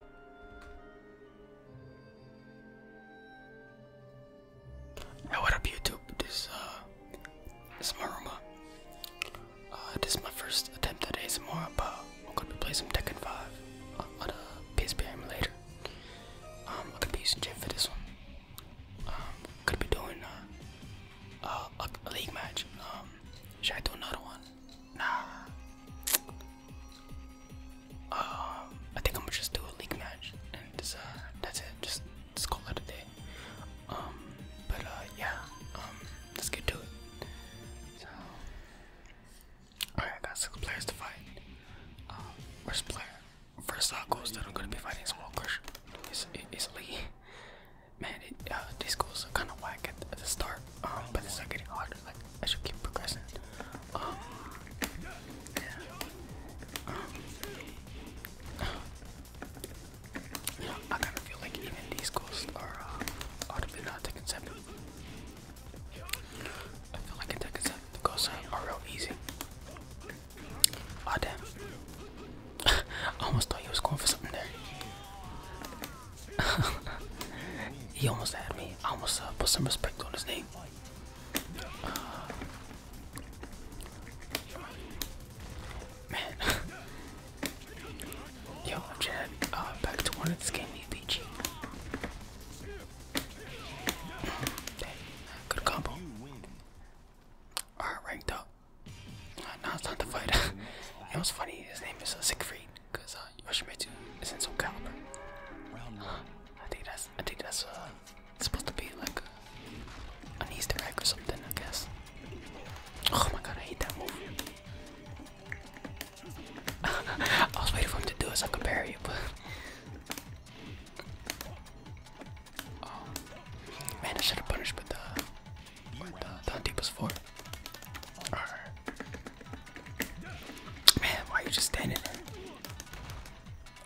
Hey, what up, YouTube? This uh, is Maruma. Uh, this is my first attempt at ASMR, but I'm gonna be playing some Tekken 5 on, a uh, PSP emulator. Um, I'm gonna be using Jim for this one. Um, I'm gonna be doing a, league match. Um, should I do another one? Nah. Uh, I think I'm gonna just do a league match, and uh, that's it. Just, just call it a day. Um, but uh, yeah. Um, let's get to it. So, all right, I got six players to fight. Um, first player, first goes that I'm gonna be fighting is Walker. It's, it's Lee. Man, uh, these goals are kind of whack at the, start, um, but it's not getting harder. Like I should keep progressing. Um, yeah. Um, I kind of feel like even these goals are uh, not taking I feel like attack and the goals are, real easy. Oh damn! I almost thought he was going for something there. he almost had me. I almost uh, put some respect on his name. Yo, Chad, uh, back to one of this BG. good combo. Alright, ranked up no, it's not the fight. you know what's funny? His name is uh, Siegfried, because uh, Yoshimitsu is in some caliber. I think that's, I think that's uh, supposed to be like an Easter egg or something, I guess. Oh my god, I hate that movie. I was waiting for him to do it so I could bury but. Um, man, I should have punished but the? that deep was four. Man, why are you just standing there?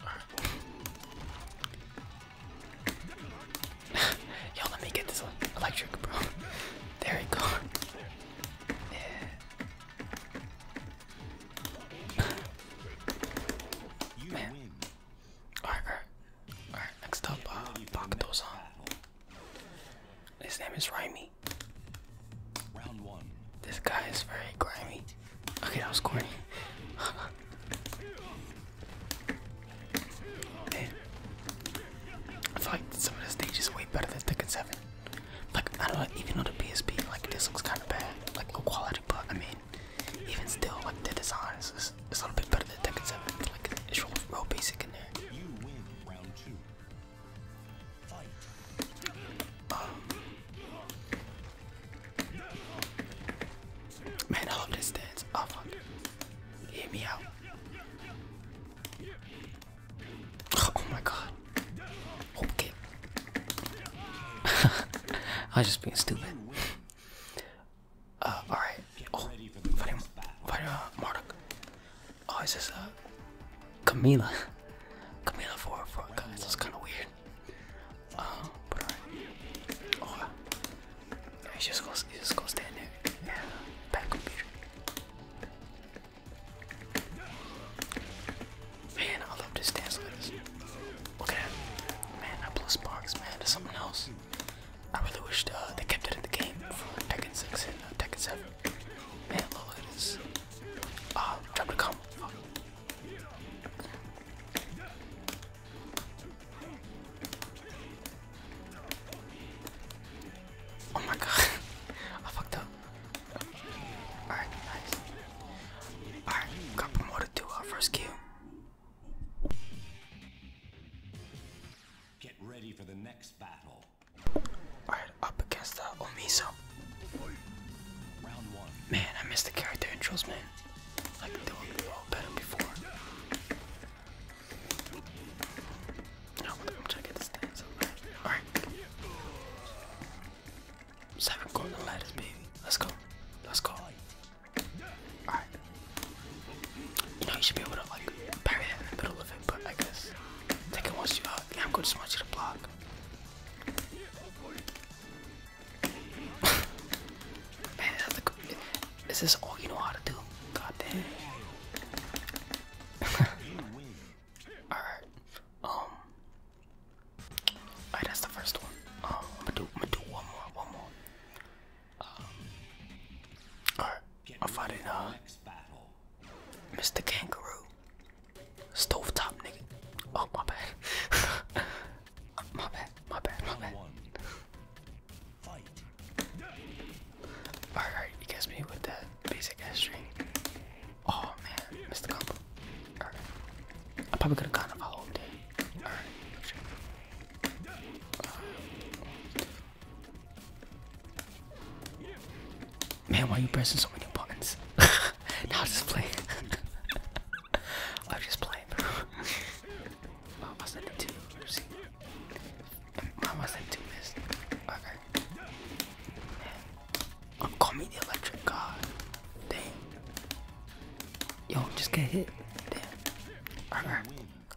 Right. Yo, let me get this electric, bro. There you go. Man. alright. Alright, next up, uh, Bakuto-san. His name is Raimi. Round one. This guy is very grimy. Okay, that was corny. Man. I feel like some of the stages way better than Tekken 7. Like, I don't even on the PSP, like, this looks kind of bad. Like, low quality, but I mean, even still, like the design is, a little bit better than Tekken 7. Like it's real, real basic in there. You win round two. Um, man, I love this dance. Oh fuck! Hear me out. Oh my god. Okay. I was just being stupid. Uh, alright. Oh, fighting, fighting uh, Marduk. Oh, is this, uh, Camila? Camila for, for guys, that's kind of weird. Uh, uh, oh, yeah, he just goes, he just goes stand there. Yeah, bad computer. Man, I love this dance Okay, man, that blue sparks, man, to someone else. I really wish uh, they kept it in the game for Tekken 6 and uh, Tekken 7. Man, look at Ah, uh, drop the Oh my god, I fucked up. Alright, nice. Alright, got promoted to our uh, first queue. Get ready for the next battle. Alright, up against the Omiso. Man, I missed the character intros, man. Like they were better before. Now I'm trying to get this dance Alright. Seven golden ladders, baby. Let's go. Let's go. Alright. You know you should be able to like parry that in the middle of it, but I guess take it once you out. I'm gonna just you block. Man, that's like, is this all you know how to do? God damn. Alright. Um Alright, that's the first one. Um, I'm gonna do, I'm gonna do one more, one more. Um, alright, I'm it. uh, Mr. Kangaroo, stovetop nigga. Oh my bad, my bad, my bad, my bad. Alright, you guys me with that basic ass string. Oh man, missed combo. I probably could have gotten a follow up Alright. man, why are you pressing so many buttons? now just play. i am just playing. bro. oh, I sent it to you. See? Mom, I two missed. Um, call me the electric god. Damn. Yo, just get hit. Damn. Alright.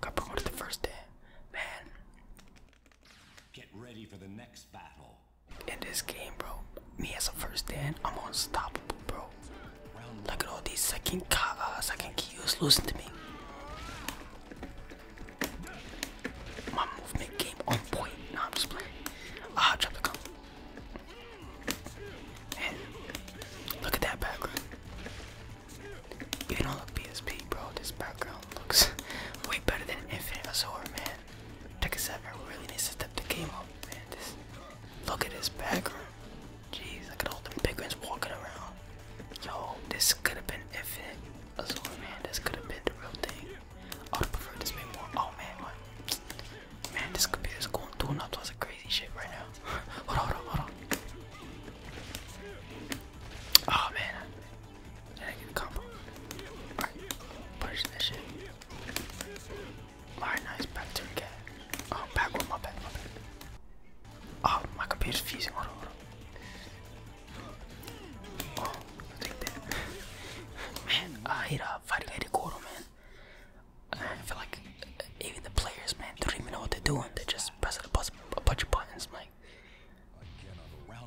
Got promoted the first day. Man. Get ready for the next battle. In this game, bro, me as a first dan, I'm unstoppable, bro. Look at all these second uh, second Qs losing to me. My movement game on point. Nah, I'm just playing. Ah, drop the gun. Man, look at that background. Even on the PSP, bro, this background looks way better than Infinite Azor, man. Take a second. We really need to step the game up, man. This, look at this background. Jeez, look at all the big ones walking around. Yo, this could have been Infinite. A sword, man, this could have been the real thing. I would prefer this being more. Oh man, what? Man, this computer's going through all sorts of crazy shit right now. hold on, hold on, hold on. Oh man, I didn't get a combo. Alright, punish that shit. Alright, nice, back to cat. Oh, back one, my back, my back. Oh, my computer's fusing, hold on, hold on. Man, I hate uh, fighting Eddie Gordo, man. I feel like even the players, man, don't even know what they're doing. They're just pressing a, bunch of buttons, like.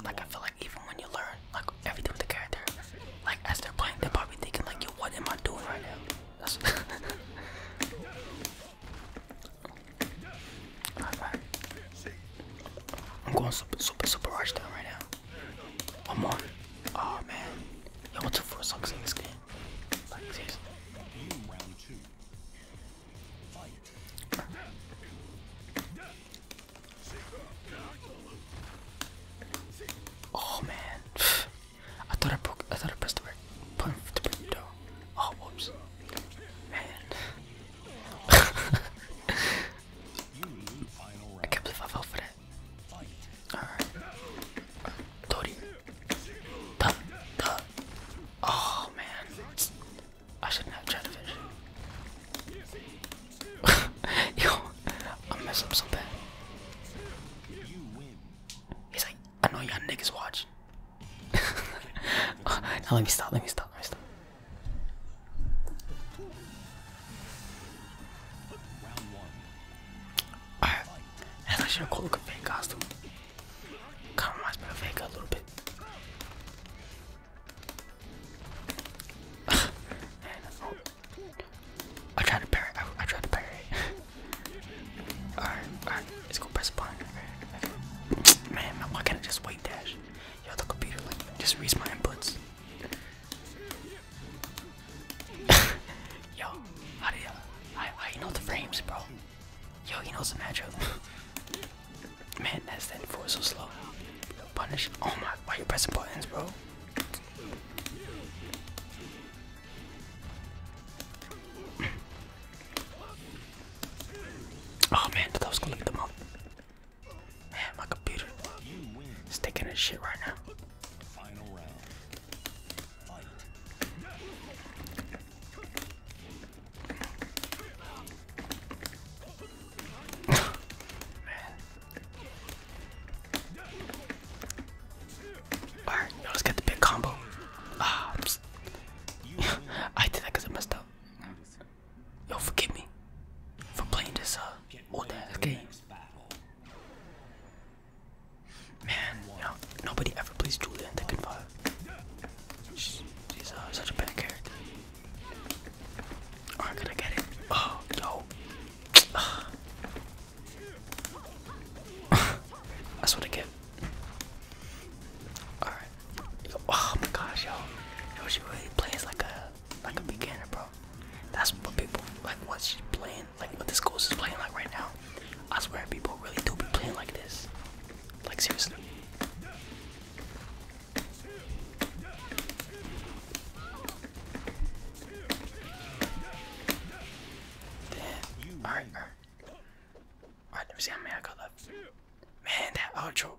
Like I feel like even when you learn like everything with the character, like as they're playing, they're probably thinking like, "Yo, what am I doing right now?" I'm going super, super, super rush down right now. One more. Oh man. Yo, what's the four sucks in this game? Oh man. I thought I broke I thought I pressed the button Oh whoops. Man. I can't believe I fell for that. Alright. Tori. Duh, Oh man. I shouldn't have tried to finish. Yo, I messed up so bad. He's like, I know y'all niggas watch. now let me stop, let me stop, let me stop. Alright, that's actually a fake costume. Kinda reminds me of Vega a little bit. Um, I tried to parry, I, tried to parry. Alright, alright, let's go press button. Man, man, why can't I just wait dash? Yo, the computer like just reads my inputs. Yo, how do you I I know the frames bro? Yo, he knows the magic. Man, that's that four so slow. Punish. Oh my, why you pressing buttons, bro? Oh man, I was gonna leave them up. Man, my computer is taking a shit right now. Alright, now let's get the big combo. Ah, I did that because I messed up. you Yo, forgive me for playing this uh game. Man, nobody ever plays Julian in Tekken 5. She's, she's uh, such a bad character. Alright, can I get it? Oh, yo. That's what I get. Alright. Oh my gosh, yo. Yo, she really plays like a like a beginner, bro. That's what people like What she's playing, like what this ghost is playing like right now. I swear people really do be playing like this. Like seriously. Damn. Alright, alright. Alright, let me I got left. Man, that outro.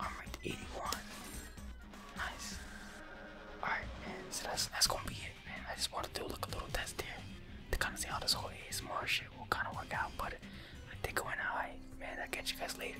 I'm ranked 81. Nice. Alright, man. So that's that's gonna be it, man. I just wanted to do like a little test here to kind of see how this whole ASMR shit will kind of work out. But I think gonna alright, man. I'll catch you guys later.